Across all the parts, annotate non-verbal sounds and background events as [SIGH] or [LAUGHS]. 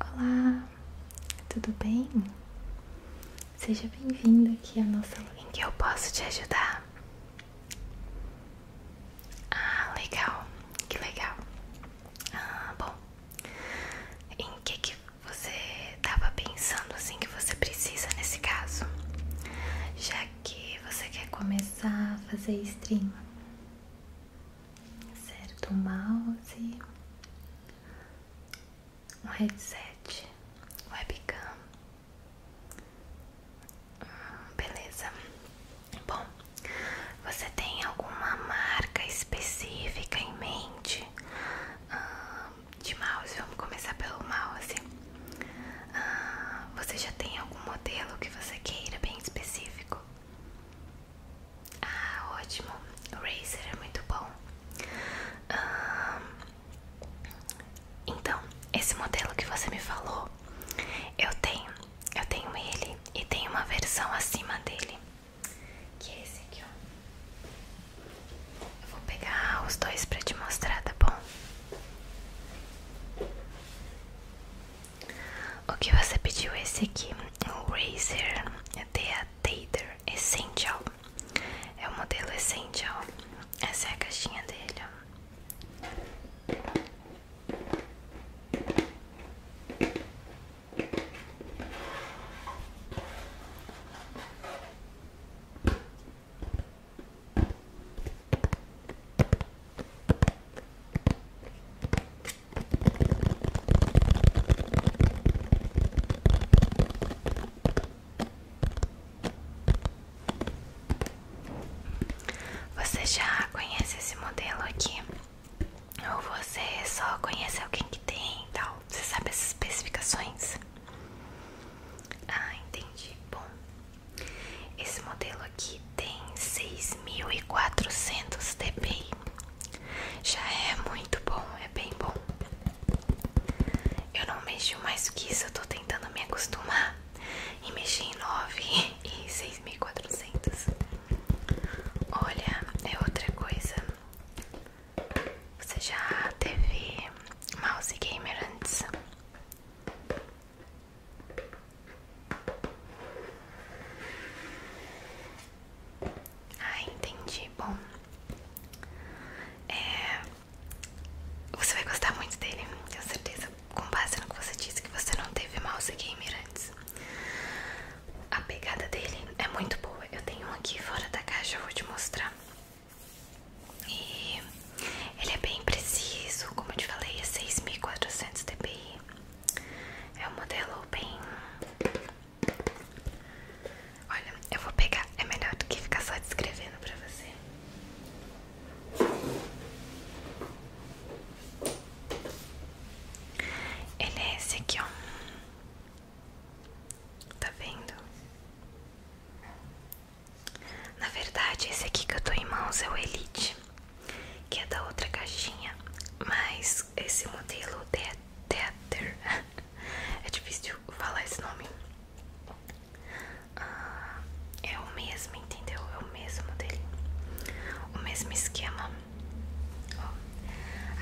Olá, tudo bem? Seja bem-vindo aqui à nossa aula em que eu posso te ajudar. Ah, legal, que legal. Ah, bom, em que, você estava pensando assim que você precisa nesse caso? Já que você quer começar a fazer stream certo? mouse, um headset, webcam. Hum, beleza. Bom, você tem alguma marca específica em mente hum, de mouse? Vamos começar pelo mouse. Hum, você já tem algum modelo que você queira bem específico? Ah, ótimo. O Razer é muito bom. então, esse modelo que você me falou, eu tenho. Eu tenho ele e tem uma versão acima dele. Que é esse aqui, ó. Eu vou pegar os dois pra te mostrar, tá bom? O que você pediu é esse aqui, o Razer é The Tater Essential. É o modelo Essential. Essa é a caixinha dele, você já conhece esse modelo aqui? Ou você só conhece alguém que tem e tal? Você sabe as especificações? Ah, entendi. Bom, esse modelo aqui tem 6.400 dpi. Já é muito bom, é bem bom. Eu não mexo mais do que isso, eu tô tentando me acostumar e mexi em 9 e 6.400. Olha, é outra coisa. Você já teve mouse gamer antes? Ah, entendi. Bom, é, você vai gostar muito dele, tenho certeza. Com base no que você disse, que você não teve mouse gamer antes. A pegada dele é muito boa. Eu tenho um aqui fora da caixa, vou te mostrar. E ele é bem preciso, como eu te falei, é 6400 dpi. É um modelo bem. Olha, eu vou pegar. É melhor do que ficar só descrevendo pra você. Ele é esse aqui, ó. Tá vendo? Na verdade, esse aqui que eu tô em mãos é o Elite que é da outra caixinha, mas esse modelo The Tether, [LAUGHS] é difícil falar esse nome, ah, é o mesmo, entendeu? É o mesmo dele, o mesmo esquema.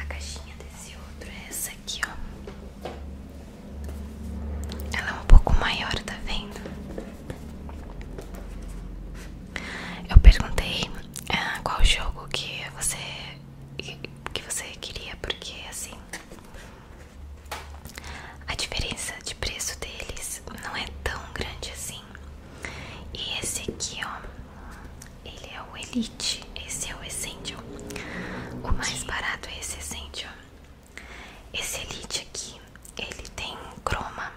a caixinha desse outro é essa aqui, ó. Ela é um pouco maior, tá vendo? Eu perguntei ah, qual jogo que você que você queria, porque assim a diferença de preço deles não é tão grande assim. E esse aqui, ó, ele é o Elite, esse é o Essential. O mais barato é esse Essential. Esse Elite aqui, ele tem croma.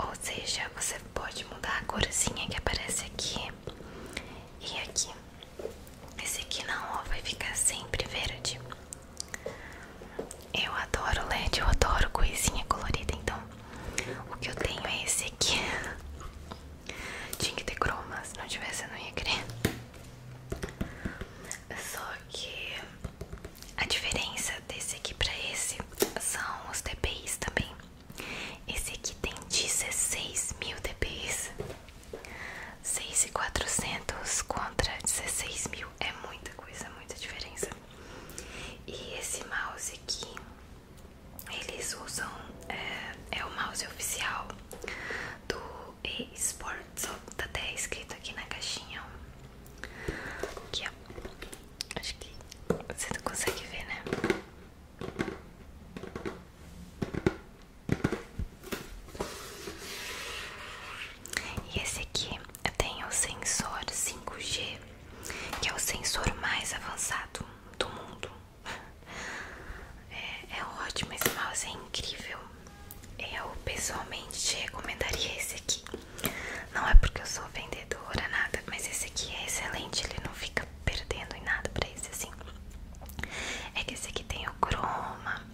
Ou seja, você pode mudar a corzinha que aparece aqui e aqui. Esse aqui não, vai ficar sempre verde. Eu adoro LED, eu adoro coisinha colorida, então o que eu tenho é esse aqui. Tinha que ter croma, se não tivesse eu não ia querer. Só que a diferença desse aqui para esse são os DPIs também. Esse aqui tem 16 mil DPIs. 6,400 contra 16 mil. É muita coisa, muita diferença. E esse mouse aqui, eles usam, é, é o mouse oficial do eSports. Tá até escrito aqui na caixinha, Aqui, ó. Acho que você não consegue ver, né? E esse aqui tem o sensor 5G, que é o sensor mais avançado do mundo. É, é, ótimo, esse mouse é incrível. Eu pessoalmente te recomendaria esse aqui. Não é porque eu sou vendedora, nada, mas esse aqui é excelente, ele não fica perdendo em nada pra esse assim. É que esse aqui tem o chroma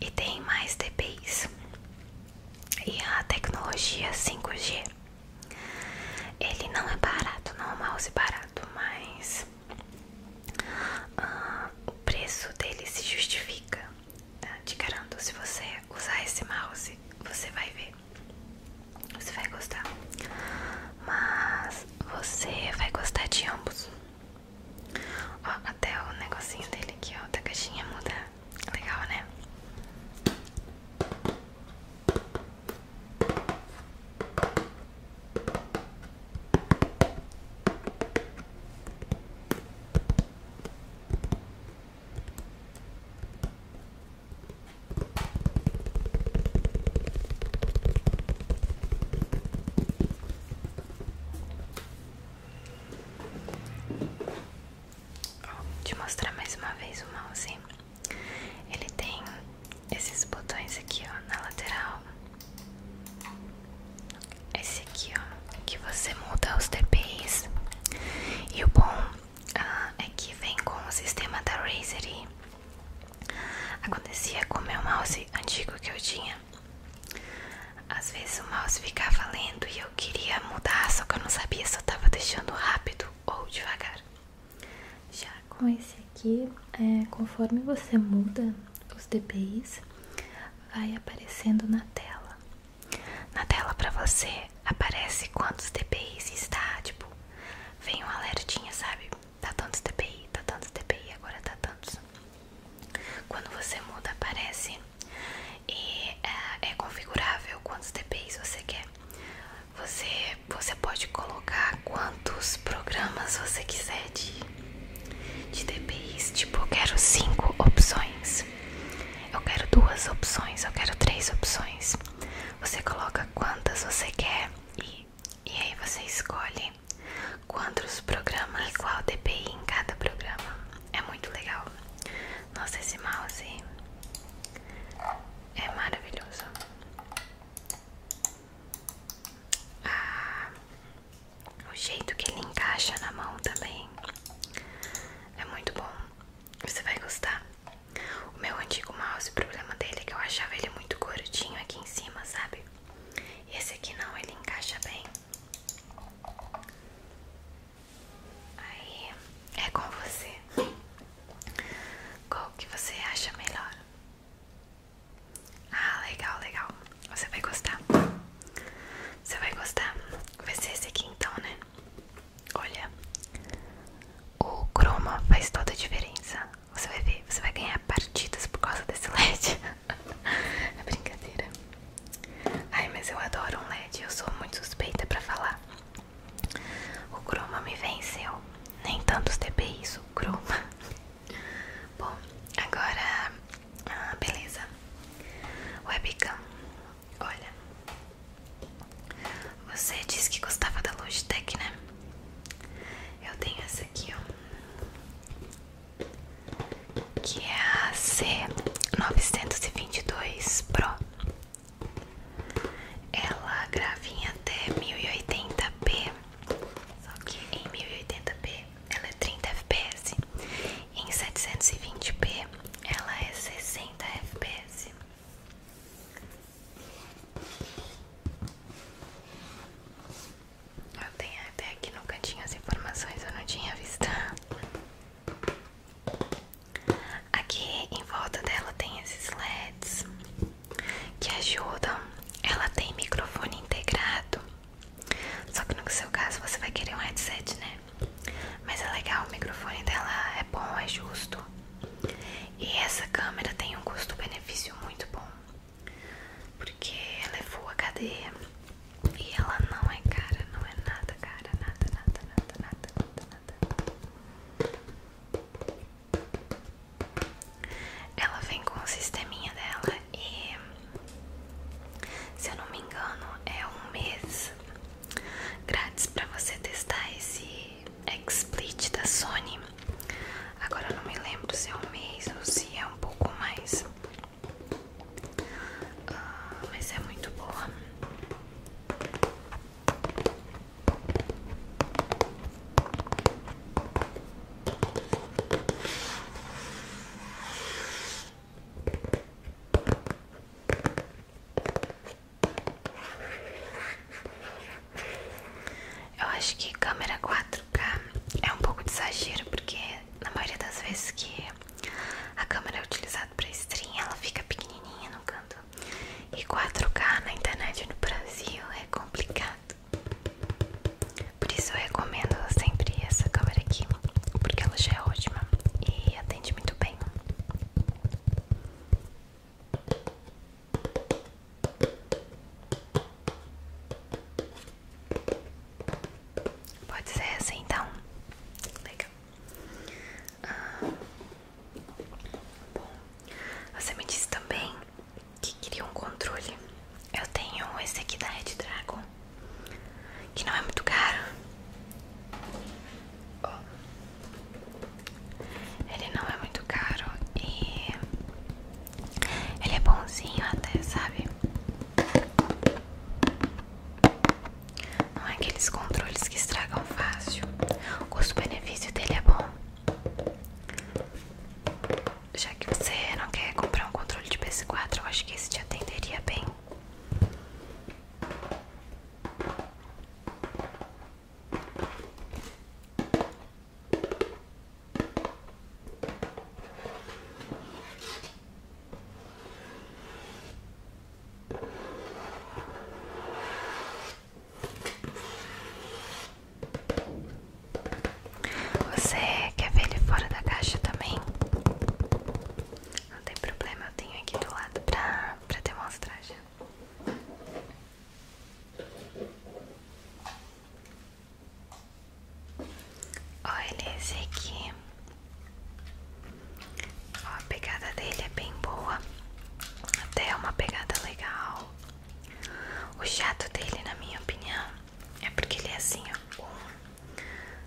e tem mais DPIs. E a tecnologia 5G. Ele não é barato, não é um mouse barato, mas ah, o preço dele se justifica. Ah, te garanto, se você usar esse mouse, você vai ver, você vai gostar, mas você vai gostar de ambos. Ó, até o negocinho dele aqui, ó, da caixinha muda, legal, né? Vou te mostrar mais uma vez o mouse. Ele tem esses botões aqui, ó, na lateral. Esse aqui, ó, que você muda os DPIs. E o bom ah, é que vem com o sistema da Razer e acontecia com o meu mouse antigo que eu tinha. Às vezes o mouse ficava lento e eu queria mudar, só que eu não sabia se eu tava deixando rápido ou devagar. Já com esse aqui, é, conforme você muda os DPIs, vai aparecendo na tela na tela para você aparece quantos DPIs está, tipo, vem um alertinha, sabe? Tá tantos DPI, tá tantos DPI, agora tá tantos. Quando você muda aparece e é, é configurável quantos DPIs você quer. Você, você pode colocar quantos programas você quiser de, de DPIs, tipo eu quero 5 opções eu quero duas opções, eu quero três opções. Você coloca quantas você quer e, e aí você escolhe quantos programas, e qual DPI em cada programa. É muito legal. Nossa, esse mouse é maravilhoso. Ah, o jeito que ele encaixa na mão também é muito bom. Você vai gostar. O meu antigo mouse, o problema dele é que eu achava ele muito gordinho aqui em cima, sabe? Esse aqui não, ele encaixa bem. Aí é com você. Qual que você acha melhor? Ah, legal, legal. Você vai gostar. Você vai gostar. Vai ser esse aqui então, né? Olha, o Chroma faz toda a diferença. Você vai ver, você vai ganhar partidas por causa desse LED. [LAUGHS] é brincadeira. Ai, mas eu adoro um LED, eu sou muito suspeita pra falar. O Chroma me venceu. Nem tantos TPIs, o Chroma. [LAUGHS] Bom, agora. Ah, beleza. Webcam. Olha, você disse que gostava da Logitech, né? Eu tenho essa aqui, ó, que é a C922 Pro. Ela grava em até 1080p, só que em 1080p ela é 30 fps em 720p ela é 60 fps. Eu tenho até aqui no cantinho as informações, eu não tinha visto. Aqui em volta dela tem esses LEDs que ajudam. Ela tem microfone integrado. Só que no seu caso você vai querer um headset, né? Mas é legal, o microfone dela é bom, é justo. E essa câmera tem um custo-benefício muito bom. Porque ela é full HD e ela não é cara, não é nada cara, nada, nada, nada, nada, Ela vem com o sisteminha dela e se eu não me engano é um mês grátis para você testar esse XSplit da Sony. Agora eu não me lembro se é um mês ou se é um pouco mais, ah, mas é muito boa. Eu acho que câmera 4K é um pouco de exagero, porque na maioria das vezes que a câmera é utilizada para stream, ela fica pequenininha no canto. E 4K na internet no Brasil é complicado. Por isso eu recomendo sempre essa câmera aqui, porque ela já é ótima e até atende muito bem. Pode ser assim então? Legal. Ah, você me disse também que queria um controle. Eu tenho esse aqui da Red Dragon que não é muito caro. Oh. Ele não é muito caro e ele é bonzinho até, sabe? Não é aqueles controles que estragam fácil. O custo-benefício dele é bom. Já que você não quer comprar um controle de PS4, eu acho que esse te atenderia bem. Você quer ver ele fora da caixa também? Não tem problema, eu tenho aqui do lado pra, pra demonstrar já. Olha esse aqui. a pegada dele é bem boa. Até é uma pegada legal. O chato dele, na minha opinião, é porque ele é assim, ó. Um,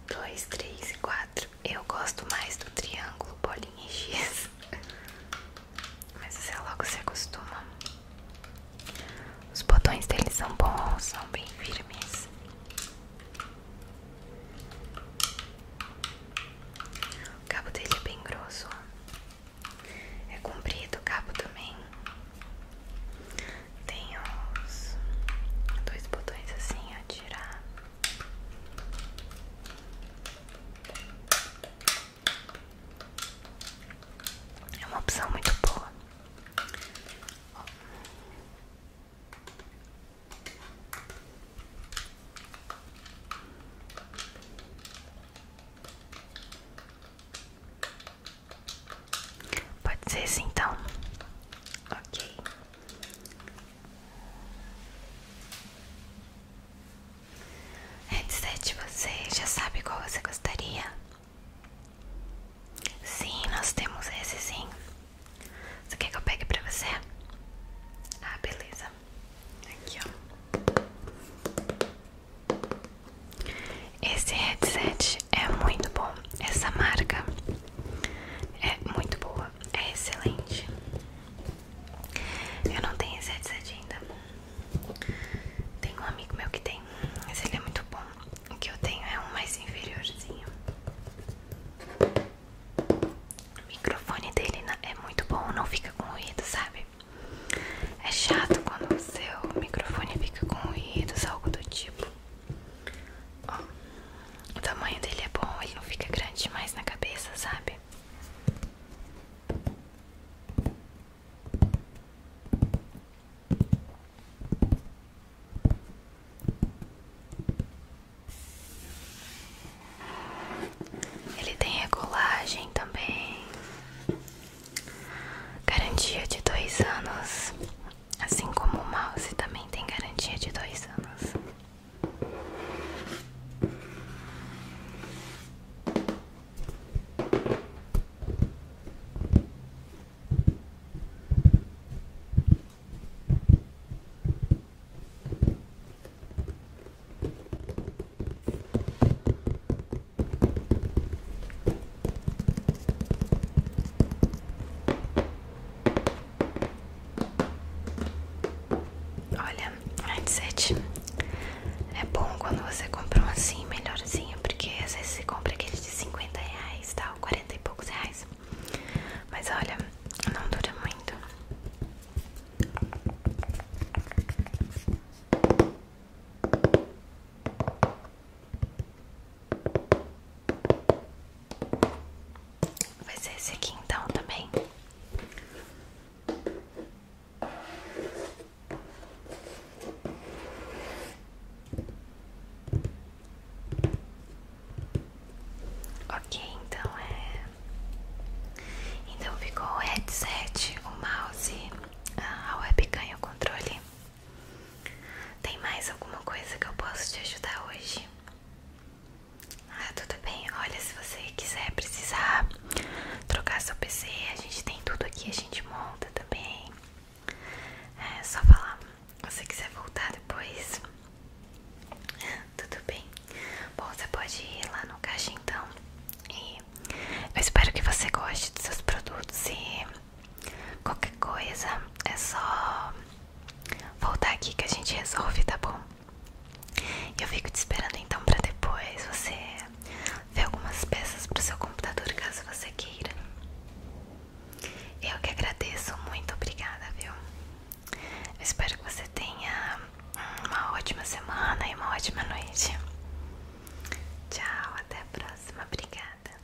dois, três, e quatro. Eu gosto mais do triângulo, bolinha e Mas você é logo se acostuma. Os botões deles são bons, são bem firmes. O cabo dele é bem grosso. É comprido o cabo também. Tem os dois botões assim atirar. É uma opção muito boa. Pode ser assim então? Ok. Headset, você já sabe qual você gostaria? Sim, nós temos esse sim. Você quer que eu pegue pra você? Ah, beleza. Aqui, ó. Esse headset é muito bom. Essa marca é muito boa é excelente. Eu não tenho esse headset ainda. Tenho um amigo meu que tem, mas ele é muito bom. O que eu tenho é um mais inferiorzinho. O microfone dele é muito bom, não fica com ruído, sabe? É chato quando o seu microfone fica com ruídos, algo do tipo o tamanho dele é bom, ele não fica grande demais na cabeça, sabe? Ele tem regulagem também, garantia de dois anos. Assim como o mouse também tem garantia de dois anos. Olha, headset é bom quando você compra um assim, melhorzinho, porque às vezes você compra aquele de 50 reais, tal, 40 e poucos reais. Mas olha, não dura muito. Vai ser esse aqui então também. Ok, então é. Então ficou o headset, o mouse, a webcam e o controle. Tem mais alguma coisa que eu possa te ajudar hoje? Ah, tudo bem. Olha, se você quiser precisar trocar seu PC, a gente tem tudo aqui, a gente monta também. É só falar. Se você quiser voltar depois, ah, tudo bem. Bom, você pode ir lá no caixa então. E eu espero que você goste dos seus produtos e Qualquer coisa é só voltar aqui que a gente resolve, tá bom? Eu fico te esperando então para depois você ver algumas peças pro seu computador caso você queira. Eu que agradeço, muito obrigada, viu? Eu espero que você tenha uma ótima semana e uma ótima noite. Tchau, até a próxima, obrigada.